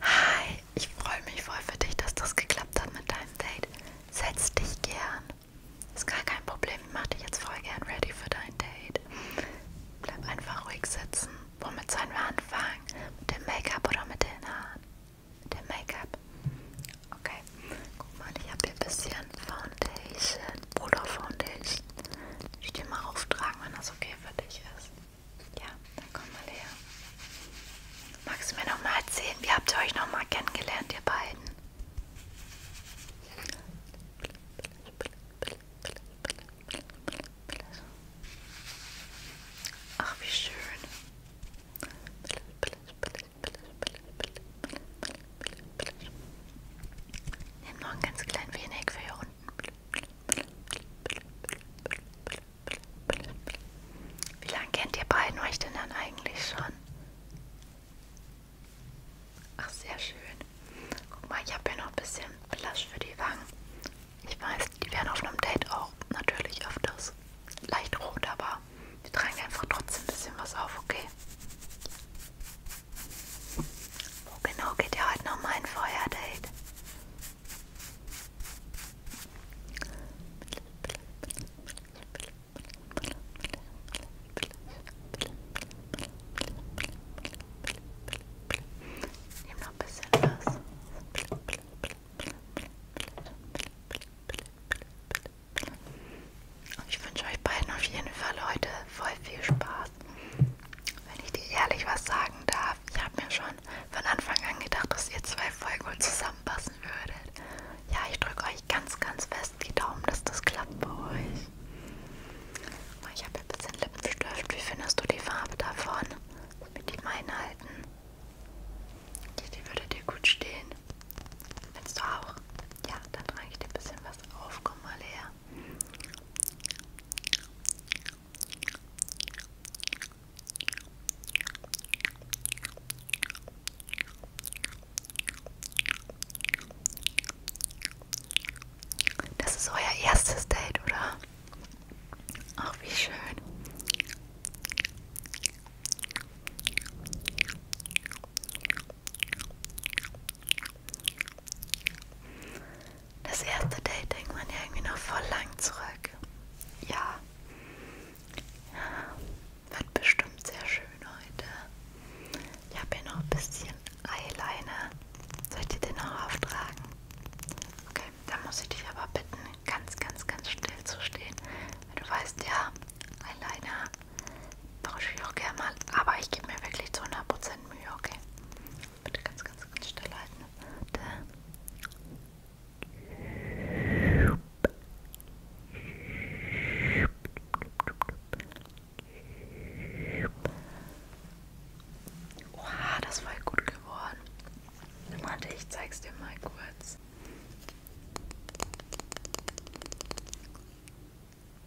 Hi, ich freue mich voll für dich, dass das geklappt hat mit deinem Date. Setz dich gern. Ist gar kein Problem, ich mach dich jetzt voll gern ready für dein Date. Bleib einfach ruhig sitzen. Womit sollen wir anfangen? Mit dem Make-up oder mit den Haaren? Mit dem Make-up. Okay, guck mal, ich habe hier ein bisschen Foundation, Puder Foundation. Ich dir mal auftragen, wenn das okay für dich ist. Ja, dann komm mal her. Magst du mir nochmal erzählen, wie habt ihr euch nochmal kennengelernt, ihr beiden? Ach, wie schön. Nimm noch ein ganz klein wenig für hier unten. Wie lange kennt ihr beiden euch denn dann eigentlich schon? Ach, sehr schön. Guck mal, ich habe hier noch ein bisschen Blush für die Wangen. Ich weiß, die werden auf einem Date auch natürlich öfters leicht rot, aber wir tragen einfach trotzdem ein bisschen was auf, okay? Wo genau geht ihr heute nochmal ein Feuerdate? Nimm noch ein bisschen was. Und ich wünsche euch beiden auf jeden Fall heute voll viel Spaß. Wenn ich dir ehrlich was sagen darf, ich habe mir schon schon von Anfang an gedacht, dass ihr zwei Folgen wohl zusammenpassen würdet. Ja, ich drücke euch ganz, ganz fest die Daumen, dass das klappt bei euch. Ich habe ein bisschen Lippenstift. Wie findest du die Farbe davon? Mit die meinen halten. Die, die würde dir gut stehen. Willst du auch? Ja, dann trage ich dir ein bisschen was auf. Komm mal her. Das ist euer erstes Date, oder? Ach, wie schön. Das erste Date denkt man ja irgendwie noch voll lang zurück ja, wird bestimmt sehr schön heute. Ich habe hier noch ein bisschen Eyeliner. Soll ich dir den noch auftragen? Okay, dann muss ich dich aber bitten, ganz, ganz, ganz still zu stehen. Du weißt ja, Eyeliner brauche ich auch gerne mal, aber ich gebe mir wirklich zu 100% Mühe, okay? Bitte ganz, ganz, ganz still halten. Da. Oha, das war gut geworden. Warte, ich zeig's dir mal kurz.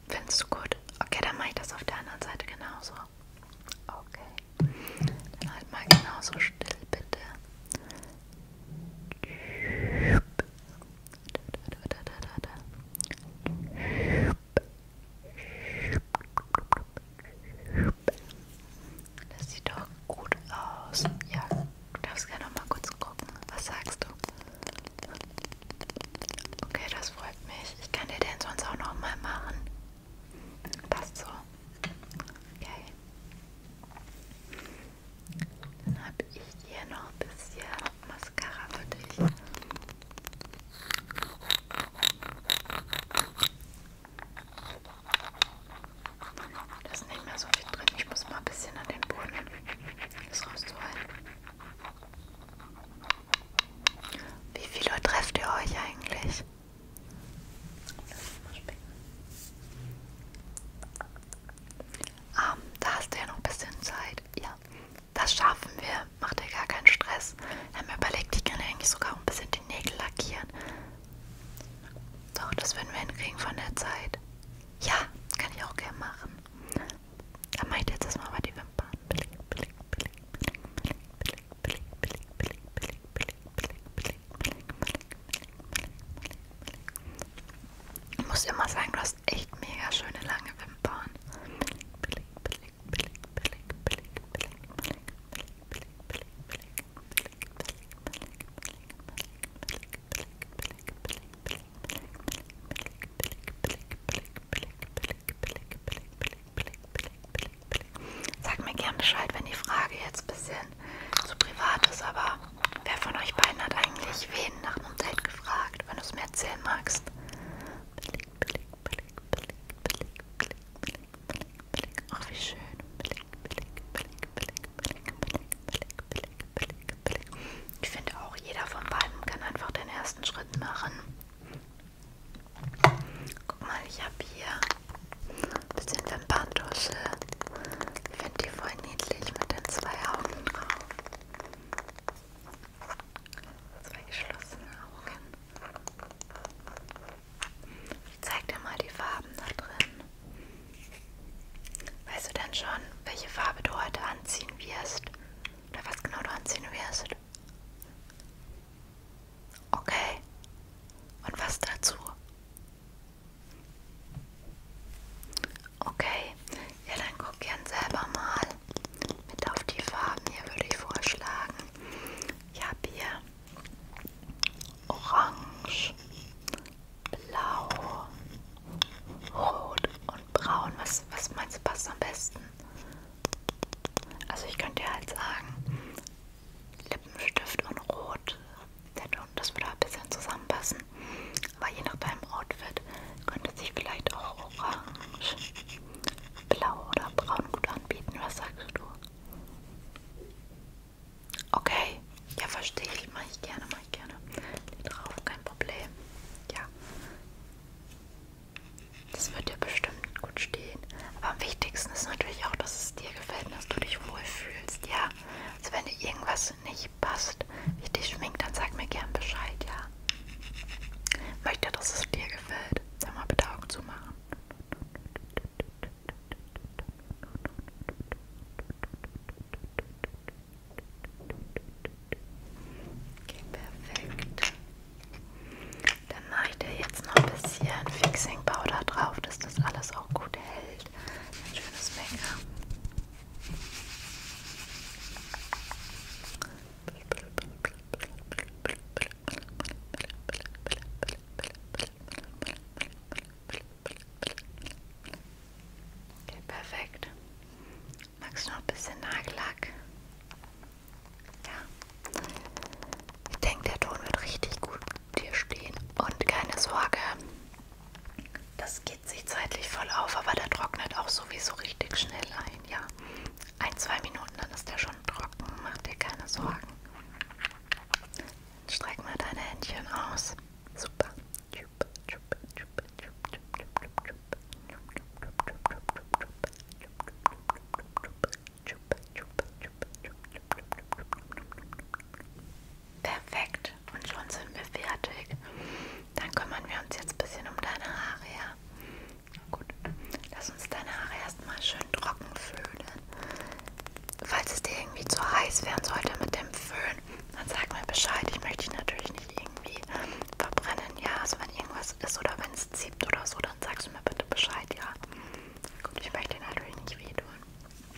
Findest du gut? Okay, dann mache ich das auf der anderen Seite genauso. Okay. Dann halt mal genauso still, bitte. Das sieht doch gut aus. Ja, du darfst gerne noch mal kurz gucken. Was sagst du? Okay, das freut mich. Ich kann dir den sonst auch noch mal machen. Passt so. Okay. Dann habe ich hier noch ein bisschen Mascara für dich. Da ist nicht mehr so viel drin. Ich muss mal ein bisschen an den Boden das rauszuholen. Wie viele trefft ihr euch eigentlich? Um, ähm, da hast du ja noch ein bisschen Zeit. Ja, das schaffen wir. Mach dir gar keinen Stress. Ich habe mir überlegt, ich kann eigentlich sogar ein bisschen die Nägel lackieren. Doch, das werden wir hinkriegen von der Zeit. Ja, kann ich auch gerne machen. Dann mache ich jetzt erstmal mal die Wimpern. Blick, blick, blick, blick, blick, blick, I immer sagen, du hast echt mega schöne lange Wimpern. Sag mir gern Bescheid, wenn die Frage jetzt ein bisschen zu privat ist, aber wer von euch beiden hat eigentlich wen nach einem Date gefragt, wenn du es mir erzählen magst? Blick, blick, blick, blick, blick, blick, blick, blick, blick. Ach, wie schön. Blick, blick, blick, blick, blick, blick, blick, blick, blick. Ich finde auch, jeder von beiden kann einfach den ersten Schritt machen. Guck mal, ich habe hier ein bisschen Wimperntusche. Ich finde die voll niedlich mit den zwei Augen drauf. Zwei geschlossene Augen. Ich zeig dir mal die Farben da drin. Weißt du denn schon, welche Farbe du heute anziehen wirst? Oder was genau du anziehen wirst? Okay. Und was dazu? Okay, ja dann guck gern selber mal mit auf die Farben hier würde ich vorschlagen. Ich habe hier Orange, Blau, Rot und Braun. Was, was meinst du passt am besten? Also ich könnte ja halt sagen, Lippenstift und Rot. Das würde ein bisschen zusammenpassen. Aber je nach deinem Outfit könnte sich vielleicht auch orange, blau oder braun gut anbieten. Was sagst du? Okay, ja verstehe ich. Mache ich gerne, mache ich gerne. Lied drauf, kein Problem. Ja. Das wird dir bestimmt gut stehen gehen. Aber am wichtigsten ist natürlich auch, dass es dir gefällt und dass du dich wohlfühlst, ja. Also wenn dir irgendwas nicht passt, wie dich schminkt, dann sag mir gern Bescheid, ja. Möchte, dass es dir gefällt. Sag mal bitte Augen zu machen. Okay, perfekt. Dann mache ich dir jetzt noch ein bisschen Fixing Powder drauf, dass das alles auch gut gut hält. Ein schönes Make-up. Okay, perfekt. Magst du noch ein bisschen Nagellack? Ja. Ich denke, der Ton wird richtig gut hier stehen. Und keine Sorge, das geht sich zeitlich voll auf, aber der trocknet auch sowieso richtig schnell ein. Ja, ein, zwei Minuten, dann ist der schon trocken. Mach dir keine Sorgen. Streck mal deine Händchen aus. Super. Perfekt. Und schon sind wir fertig. Dann kümmern wir uns jetzt ein bisschen um deine Haare. Ja? Gut. Lass uns deine Haare erstmal schön trocken föhnen. Falls es dir irgendwie zu heiß werden sollte mit dem Föhn, dann sag mir Bescheid. Ich möchte dich natürlich nicht irgendwie verbrennen. Ja, also wenn irgendwas ist oder wenn es zieht oder so, dann sagst du mir bitte Bescheid. Ja. Gut, ich möchte dir natürlich nicht wehtun.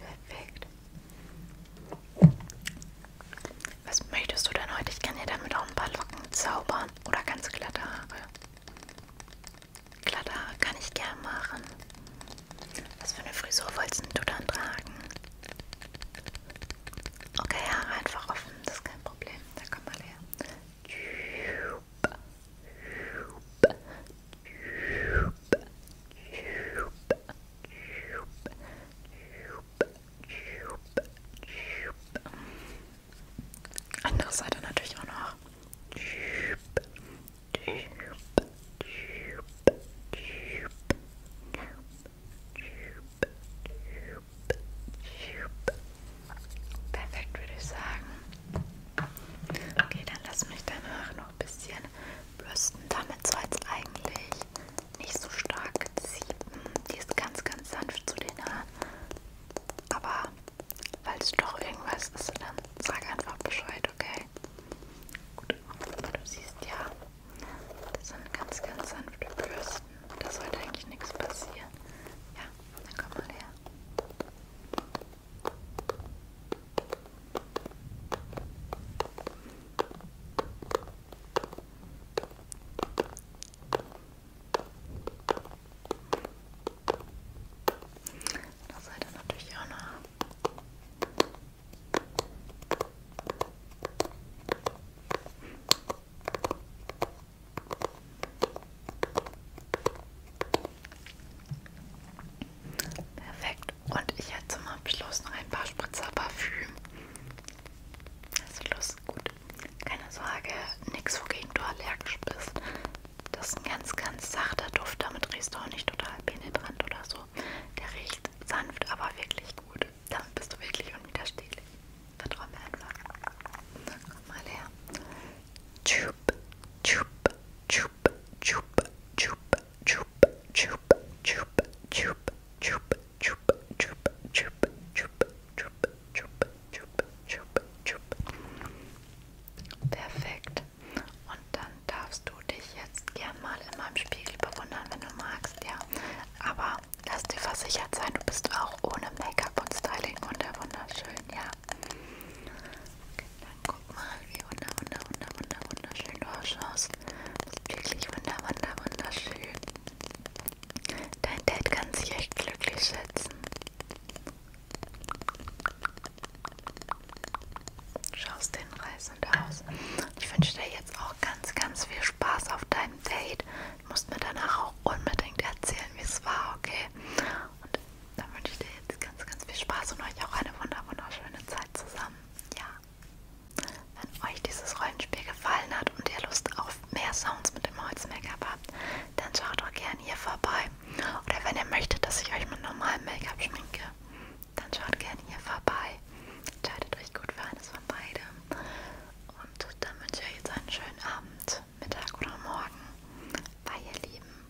Perfekt. Was möchtest du denn heute? Ich kann dir damit auch ein paar Locken zaubern. Oder ganz glatte Haare. Glatte Haare kann ich gern machen. Was für eine Frisur wolltest du dann tragen? Okay, Haare einfach offen. Das ist kein Problem. Da kommen wir her. Andere Seite natürlich auch noch. Perfekt, würde ich sagen. Okay, dann lass mich danach noch noch ein bisschen bürsten. Damit soll es eigentlich nicht so stark ziepen. Hm, die ist ganz, ganz sanft zu den Haaren. Aber falls doch irgendwas ist, dann sag einfach Bescheid, okay? Gut, du siehst ja, das sind ganz, ganz sanfte Bürsten. Da sollte eigentlich nichts passieren. Ja, dann komm mal her. Das seid ihr natürlich auch noch. Perfekt. Und ich hätte zum Abschluss noch ein paar Spritzer Parfüm. Also los, gut. Keine Sorge, nichts, wogegen du allergisch bist. Das ist ein ganz, ganz sachter Duft. Damit riechst du auch nicht total penetrant oder so. Der riecht sanft, aber wirklich gut. Damit bist du wirklich unwiderstehlich. Vertrau mir einfach. Komm mal her. Tschüpp, tschüpp, tschüpp chup, chup, chup, chup, chup, chup, chup, chup, chup, chup, chup, chup, chup, chup, chup, chup, chup. Perfekt. Und dann darfst du dich jetzt gern mal in meinem Spiegel bewundern, wenn du magst, ja. Aber lass dir versichert sein, du bist auch ohne Make-up und Styling wunderschön, ja. Dann guck mal, wie wunder, wunder, wunder, wunder, wunderschön du ausschaust. Wirklich wunder, wunder, wunderschön. Dein Dad kann sich echt glücklich schätzen. Schaust den reißend aus. Ich wünsche dir jetzt auch ganz, ganz viel Spaß auf deinem Date. Du musst mir danach auch unbedingt erzählen, wie es war, okay? Und dann wünsche ich dir jetzt ganz, ganz viel Spaß und euch auch eine wunder wunderschöne Zeit zusammen. Ja. Wenn euch dieses Rollenspiel gefallen hat und ihr Lust auf mehr Sounds mit dem Holz-Make-up habt, dann schaut doch gerne hier vorbei. Oder wenn ihr möchtet, dass ich euch mit normalem Make-up schminke, dann schaut gerne hier vorbei. Entscheidet euch gut für eines von beidem. Und dann wünsche ich euch jetzt einen schönen Abend, Mittag oder Morgen. Bye, ihr Lieben.